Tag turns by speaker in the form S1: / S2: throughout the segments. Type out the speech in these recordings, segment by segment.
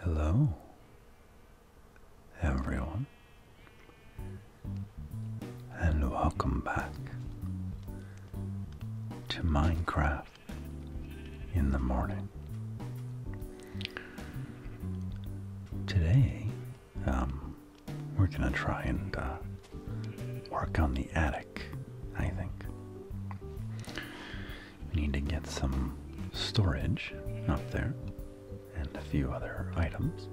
S1: Hello, everyone, and welcome back to Minecraft in the morning. Today, um, we're gonna try and uh, work on the attic, I think. We need to get some storage up there and a few other items.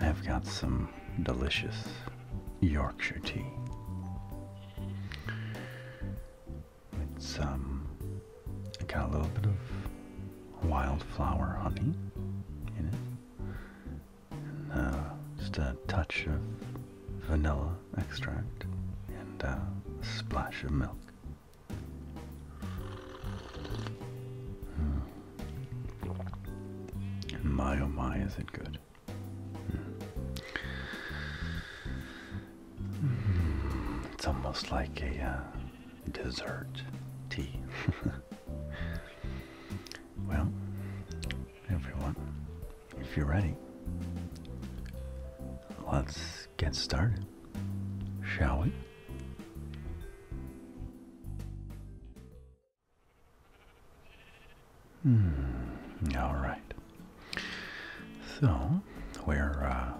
S1: I've got some delicious Yorkshire tea. It's um, got a little bit of wildflower honey in it. Uh, just a touch of vanilla extract and uh, a splash of milk. Hmm. my oh my, is it good! Hmm. It's almost like a uh, dessert tea. well, everyone, if you're ready, let's get started, shall we? Hmm, all right. So, we're uh,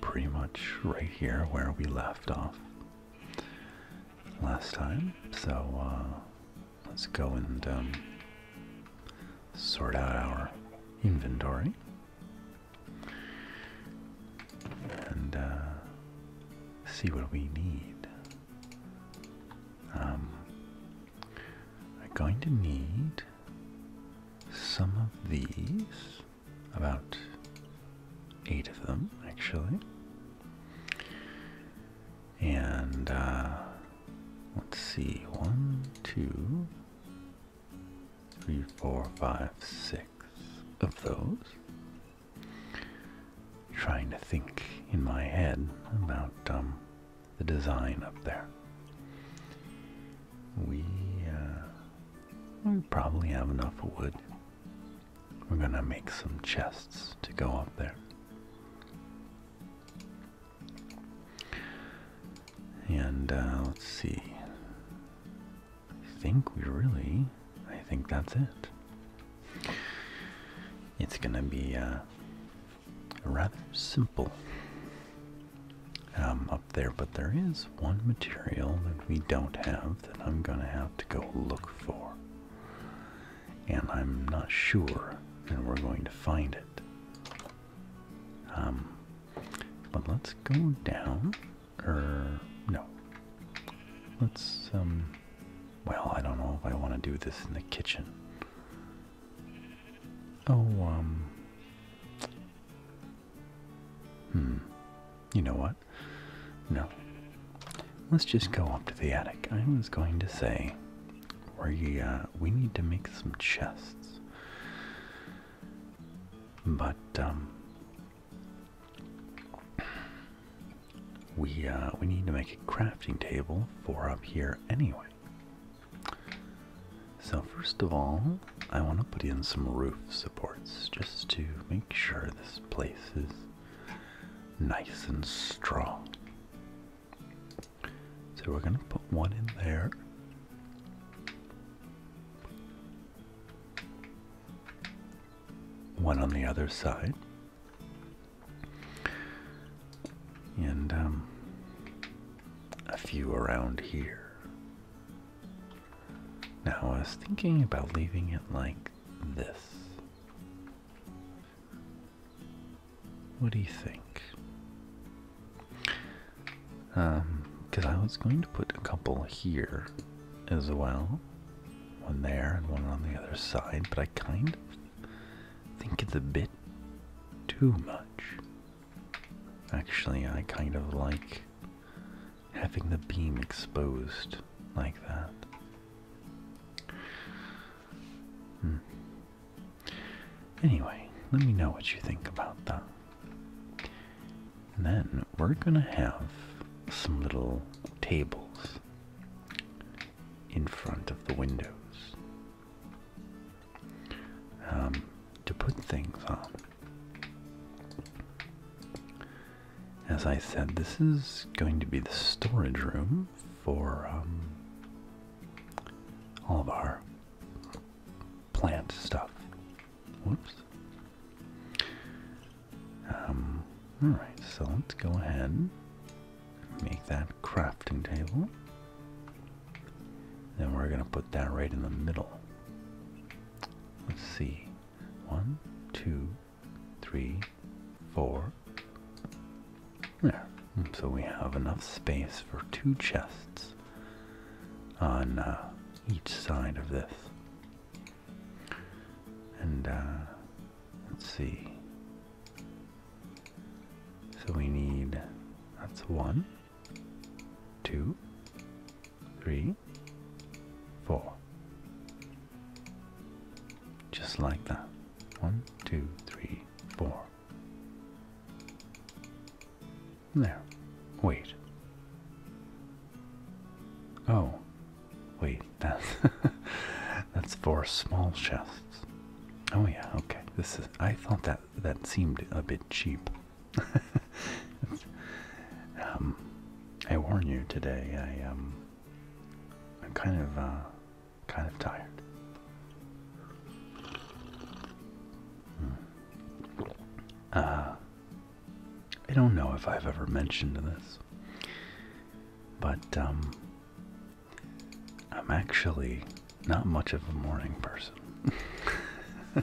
S1: pretty much right here where we left off last time. So, uh, let's go and um, sort out our inventory. And uh, see what we need. Um, I'm going to need some of these, about eight of them actually. And uh, let's see, one, two, three, four, five, six of those. Trying to think in my head about um, the design up there. We, uh, we probably have enough wood we're gonna make some chests to go up there. And uh, let's see. I think we really, I think that's it. It's gonna be uh, rather simple um, up there, but there is one material that we don't have that I'm gonna have to go look for and I'm not sure that we're going to find it. Um, but let's go down, or er, no. Let's, um, well, I don't know if I want to do this in the kitchen. Oh, um, hmm, you know what? No, Let's just go up to the attic. I was going to say, we uh, we need to make some chests, but um, we uh, we need to make a crafting table for up here anyway. So first of all, I want to put in some roof supports just to make sure this place is nice and strong. So we're going to put one in there. One on the other side. And um, a few around here. Now I was thinking about leaving it like this. What do you think? Because um, I was going to put a couple here as well. One there and one on the other side, but I kind of think it's a bit too much. Actually, I kind of like having the beam exposed like that. Hmm. Anyway, let me know what you think about that. And then we're gonna have some little tables in front of the windows um, to put things on. As I said, this is going to be the storage room for um, all of our plant stuff. Whoops. Um, alright, so let's go ahead and make that crafting table. Then we're going to put that right in the middle. Let's see. One, two, three, four. There. Hmm. So we have enough space for two chests on uh, each side of this. And uh, let's see. So we need that's one, two, three, four. Just like that. One, two, three, four. There. Wait. Oh. Wait, that's that's four small chests. Oh yeah, okay. This is I thought that that seemed a bit cheap. um I warn you today, I um I'm kind of, uh, kind of tired. Hmm. Uh, I don't know if I've ever mentioned this, but, um, I'm actually not much of a morning person.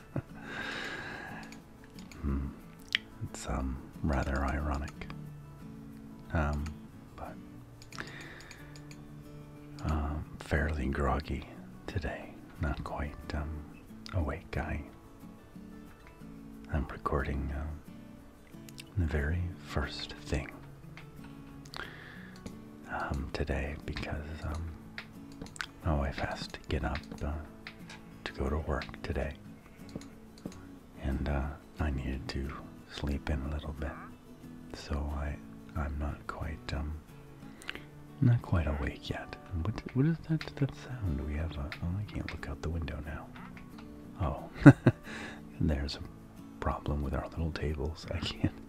S1: Hmm. It's um rather ironic. Um, but um, fairly groggy today, not quite um, awake. I I'm recording um, the very first thing um, today because um, my wife has to get up uh, to go to work today and uh, I needed to sleep in a little bit, so I I'm not quite um, not quite awake yet. What what is that that sound? We have uh, oh I can't look out the window now. Oh, there's a problem with our little tables. I can't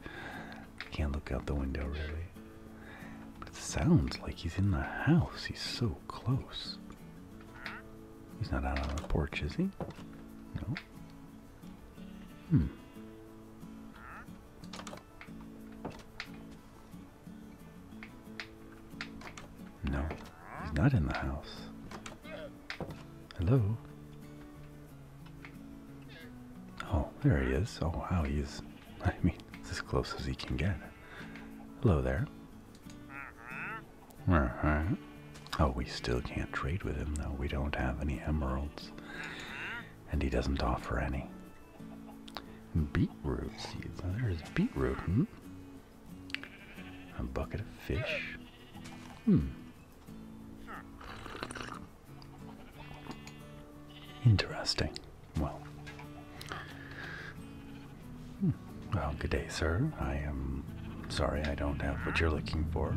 S1: I can't look out the window really. But it sounds like he's in the house. He's so close. He's not out on the porch, is he? No. Hmm. No, he's not in the house. Hello? Oh, there he is. Oh, wow, he's, I mean, it's as close as he can get. Hello there. Oh, we still can't trade with him, though. We don't have any emeralds. And he doesn't offer any. Beetroot seeds. Oh, there's beetroot, hmm? A bucket of fish. Hmm. Interesting. Well, Hmm. Well, good day, sir. I am sorry I don't have what you're looking for.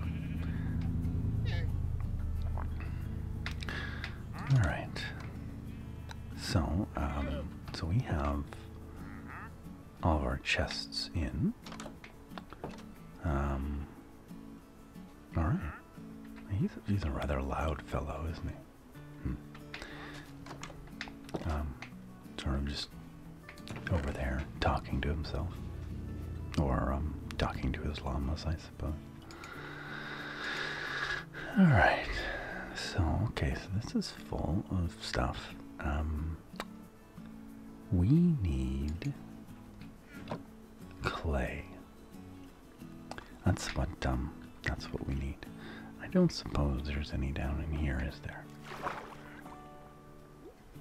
S1: All right. So, um, so we have all of our chests in. Um, all right. He's, he's a rather loud fellow, isn't he? Hmm. Um, sort of just over there talking to himself. Or um, talking to his lamas, I suppose. Alright. So, okay, so this is full of stuff. Um, we need clay. That's what um, that's what we need. I don't suppose there's any down in here, is there?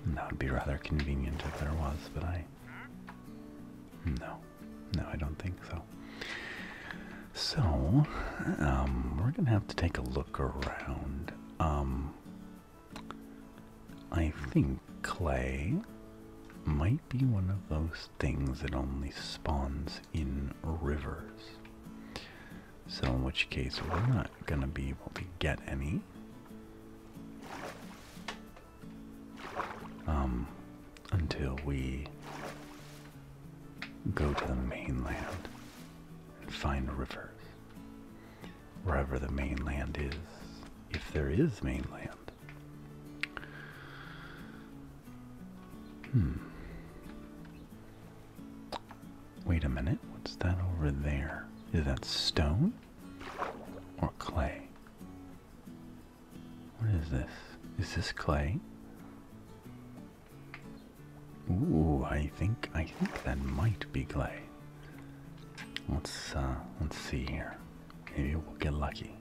S1: That would be rather convenient if there was, but I... No. No, I don't think so. So, um, we're going to have to take a look around. Um, I think clay might be one of those things that only spawns in rivers. So in which case we're not going to be able to get any. Um, until we go to the mainland and find rivers. Wherever the mainland is, if there is mainland. Hmm. Wait a minute, what's that over there? Is that stone or clay? What is this? Is this clay? Ooh, I think I think that might be clay. Let's uh let's see here. Maybe we'll get lucky.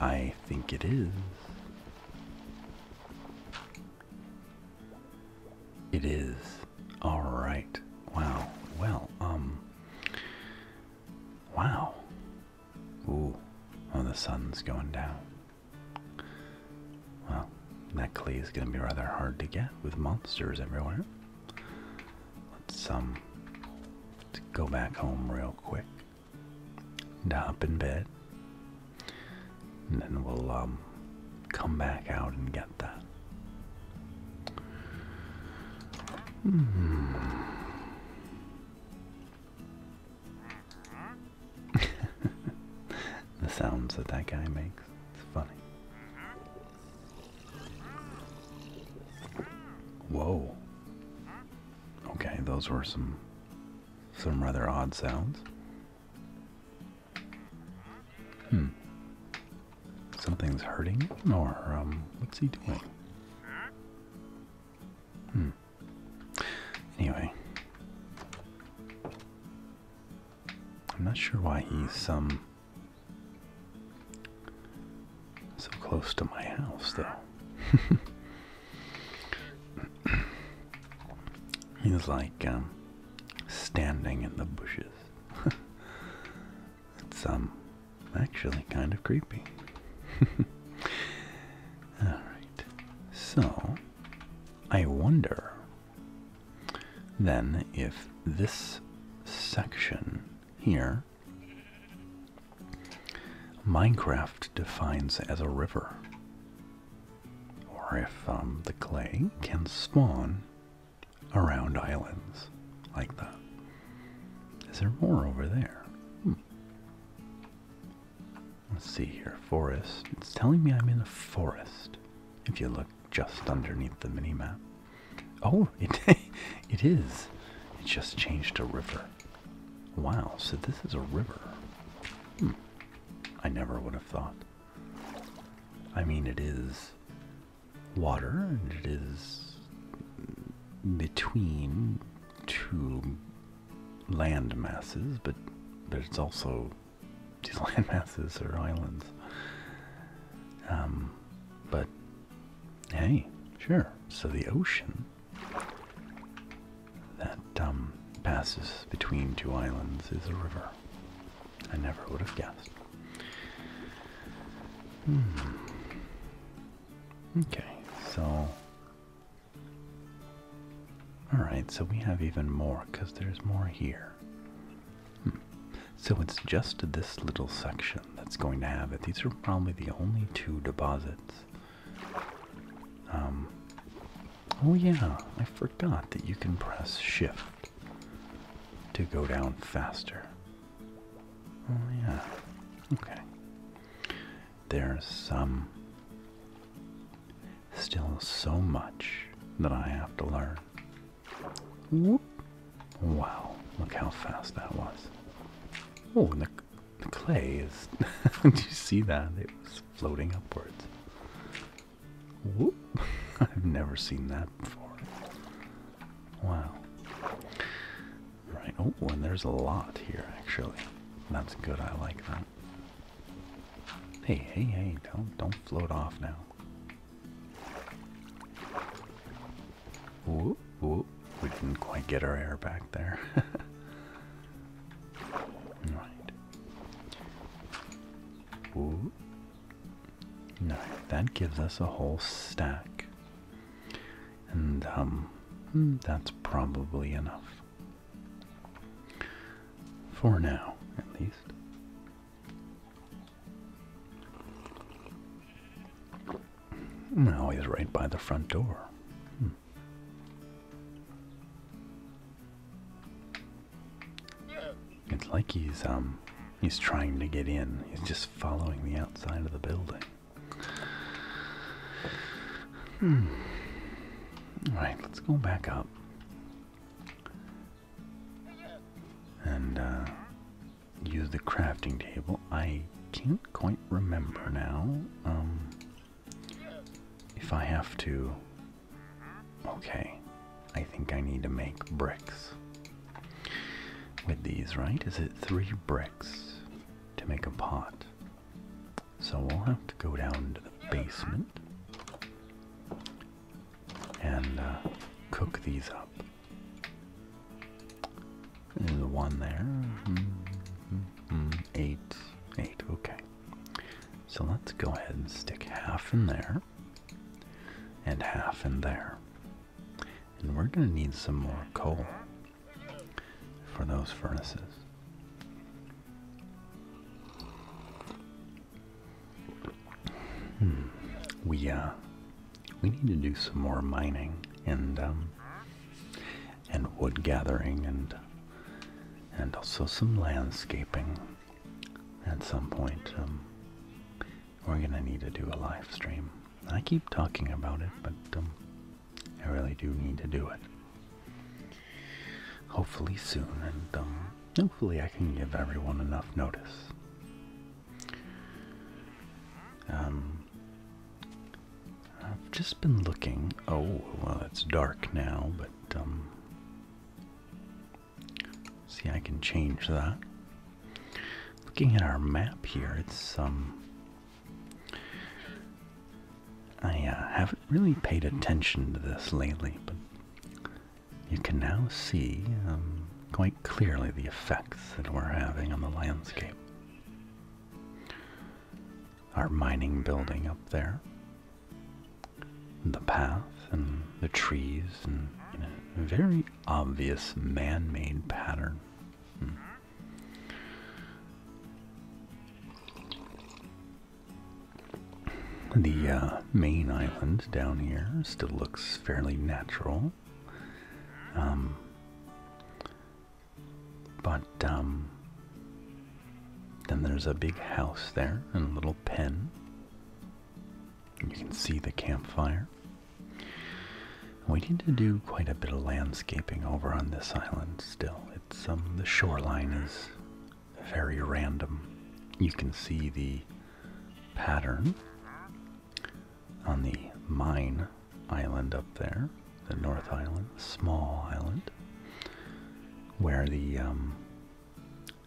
S1: I think it is. It is. All right. Wow. Well, um. Wow. Ooh. Oh, the sun's going down. Well, that clay is going to be rather hard to get with monsters everywhere. Let's go back home real quick. And hop in bed. And then we'll um, come back out and get that. Hmm. the sounds that that guy makes. It's funny. Whoa. Okay, those were some some rather odd sounds. Hmm. Something's hurting him, or um, what's he doing? Hmm. Anyway, I'm not sure why he's um so close to my house, though. He's like um, standing in the bushes. it's um, actually kind of creepy. Alright, so I wonder then if this section here Minecraft defines as a river. Or if um, the clay can spawn around islands like that. Is there more over there? Hmm. Let's see here. Forest. It's telling me I'm in a forest if you look just underneath the minimap. Oh, it it is. It just changed to river. Wow, so this is a river. Hmm. I never would have thought. I mean, it is water, and it is between two land masses, but but it's also these land masses are islands. Um, but Hey, sure. So the ocean that um, passes between two islands is a river. I never would have guessed. Hmm. Okay, so. Alright, so we have even more because there's more here. Hmm. So it's just this little section that's going to have it. These are probably the only two deposits. Um, oh yeah, I forgot that you can press shift to go down faster. Oh yeah, okay. There's some, um, still so much that I have to learn. Wow, look how fast that was. Oh, and the, the clay is. Do you see that? It was floating upwards. Whoop. I've never seen that before. Wow. Right. Oh, and there's a lot here, actually. That's good. I like that. Hey, hey, hey! Don't don't float off now. Whoop, We didn't quite get our air back there. right. Whoop. No, that gives us a whole stack. And, um, hmm, that's probably enough. For now, at least. Now he's right by the front door. Hmm. It's like he's um he's trying to get in. He's just following the outside of the building. Hmm. Alright, let's go back up. And uh, use the crafting table. I can't quite remember now. Um, if I have to. Okay, I think I need to make bricks with these, right? Is it three bricks to make a pot? So we'll have to go down to the basement and uh, cook these up. There's a one there. Hmm, hmm, hmm. Eight. Eight. Okay. So let's go ahead and stick half in there and half in there. And we're going to need some more coal for those furnaces. We, uh, we need to do some more mining and um, and wood gathering and and also some landscaping at some point. Um, we're gonna need to do a live stream. I keep talking about it, but um, I really do need to do it. Hopefully soon, and hopefully I can give everyone enough notice um, I've just been looking. Oh, well, it's dark now, but um, see, I can change that. Looking at our map here, it's um, I uh, haven't really paid attention to this lately, but you can now see um, quite clearly the effects that we're having on the landscape. Our mining building up there, the path and the trees, and a very obvious man made pattern. Hmm. The uh, main island down here still looks fairly natural. Um, but um, then there's a big house there and a little pen. You can see the campfire. We need to do quite a bit of landscaping over on this island still. It's um, the shoreline is very random. You can see the pattern on the mine island up there, the North Island, small island, where the um,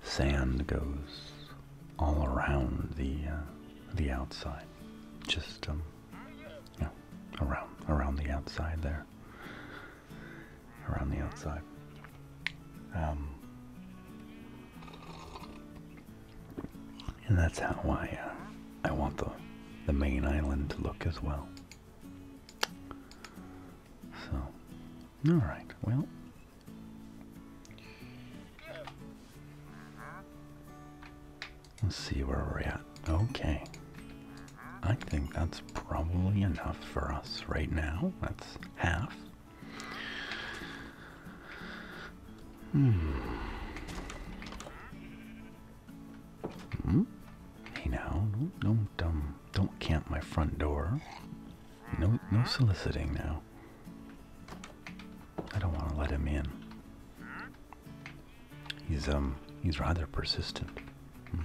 S1: sand goes all around the uh, the outside, just um, around around the outside there, around the outside. Um, and that's how I uh, I want the the main island to look as well. So, all right. Well, let's see where we're at. Okay. I think that's probably enough for us right now. That's half. Hmm. Hmm? Hey now, don't don't um, don't camp my front door. No no soliciting now. I don't want to let him in. He's um he's rather persistent. Hmm.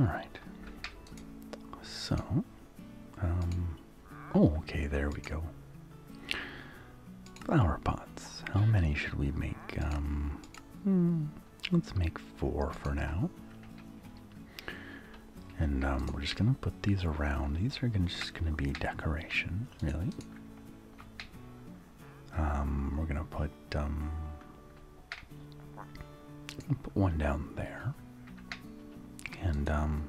S1: All right. So um, oh, okay, there we go. Flower pots. How many should we make? Um, hmm, let's make four for now. And um, we're just gonna put these around. These are just gonna be decoration, really. we're gonna put Put one down there. Um,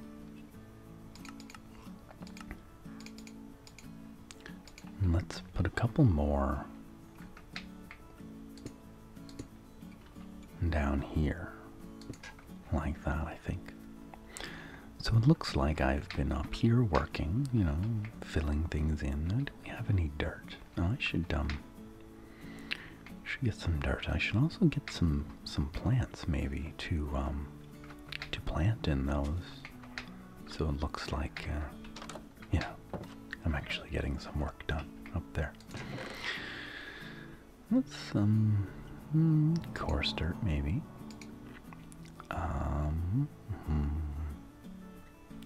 S1: and, let's put a couple more down here. Like that, I think. So it looks like I've been up here working, you know, filling things in. I Do not have any dirt? I should, um, should get some dirt. I should also get some some plants maybe to um to plant in those. So it looks like uh, yeah, I'm actually getting some work done up there. let um mm, coarse dirt maybe. Um.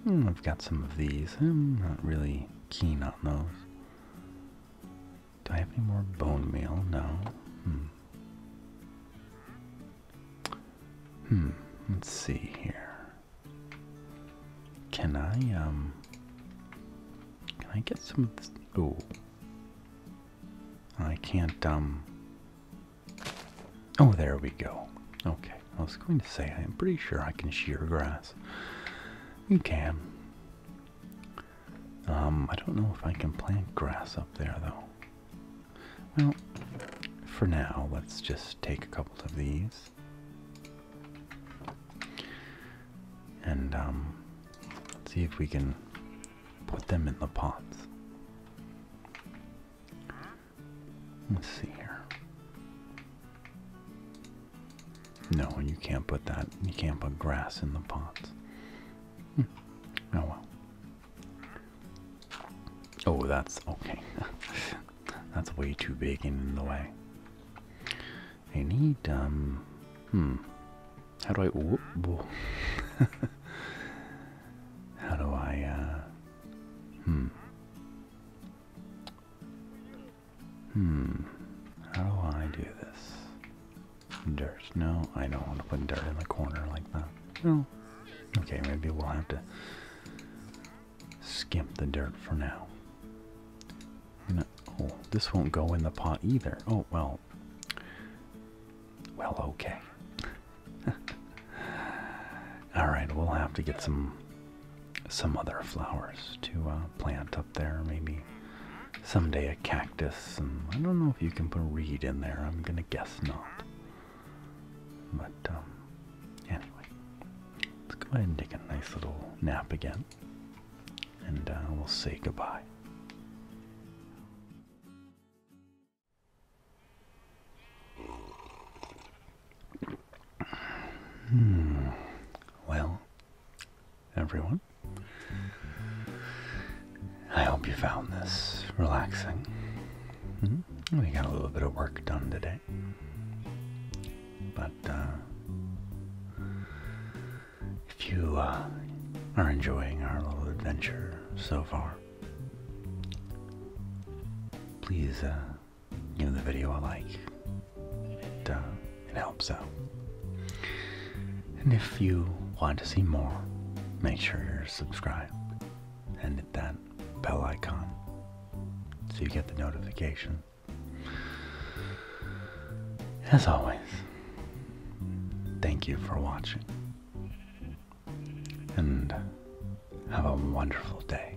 S1: Mm, I've got some of these. I'm not really keen on those. Do I have any more bone meal? No. Hmm. Hmm. Let's see here. Can I um? Can I get some of this? Oh. I can't um. Oh, there we go. Okay. I was going to say I'm pretty sure I can shear grass. You can. Um, I don't know if I can plant grass up there though. Well, for now, let's just take a couple of these. And um, see if we can put them in the pots. Let's see here. No, you can't put that. You can't put grass in the pots. Hmm. Oh well. Oh, that's okay. that's way too big and in the way. I need, um, hmm. How do I, whoop, how do I, uh, hmm. Hmm. How do I do this? Dirt. No, I don't want to put dirt in the corner like that. No. Okay, maybe we'll have to skimp the dirt for now. oh, this won't go in the pot either. Oh, well. Well, okay. Alright, we'll have to get some some other flowers to uh, plant up there. Maybe someday a cactus. And I don't know if you can put a reed in there. I'm gonna guess not. But um, anyway, let's go ahead and take a nice little nap again, and uh, we'll say goodbye. Hmm. Well, everyone, I hope you found this relaxing. Hmm? We got a little bit of work done today, but uh, if you uh, are enjoying our little adventure so far, please. Uh, in the video I like. Uh, it helps out. And if you want to see more, make sure you're subscribed and hit that bell icon so you get the notification. As always, thank you for watching and have a wonderful day.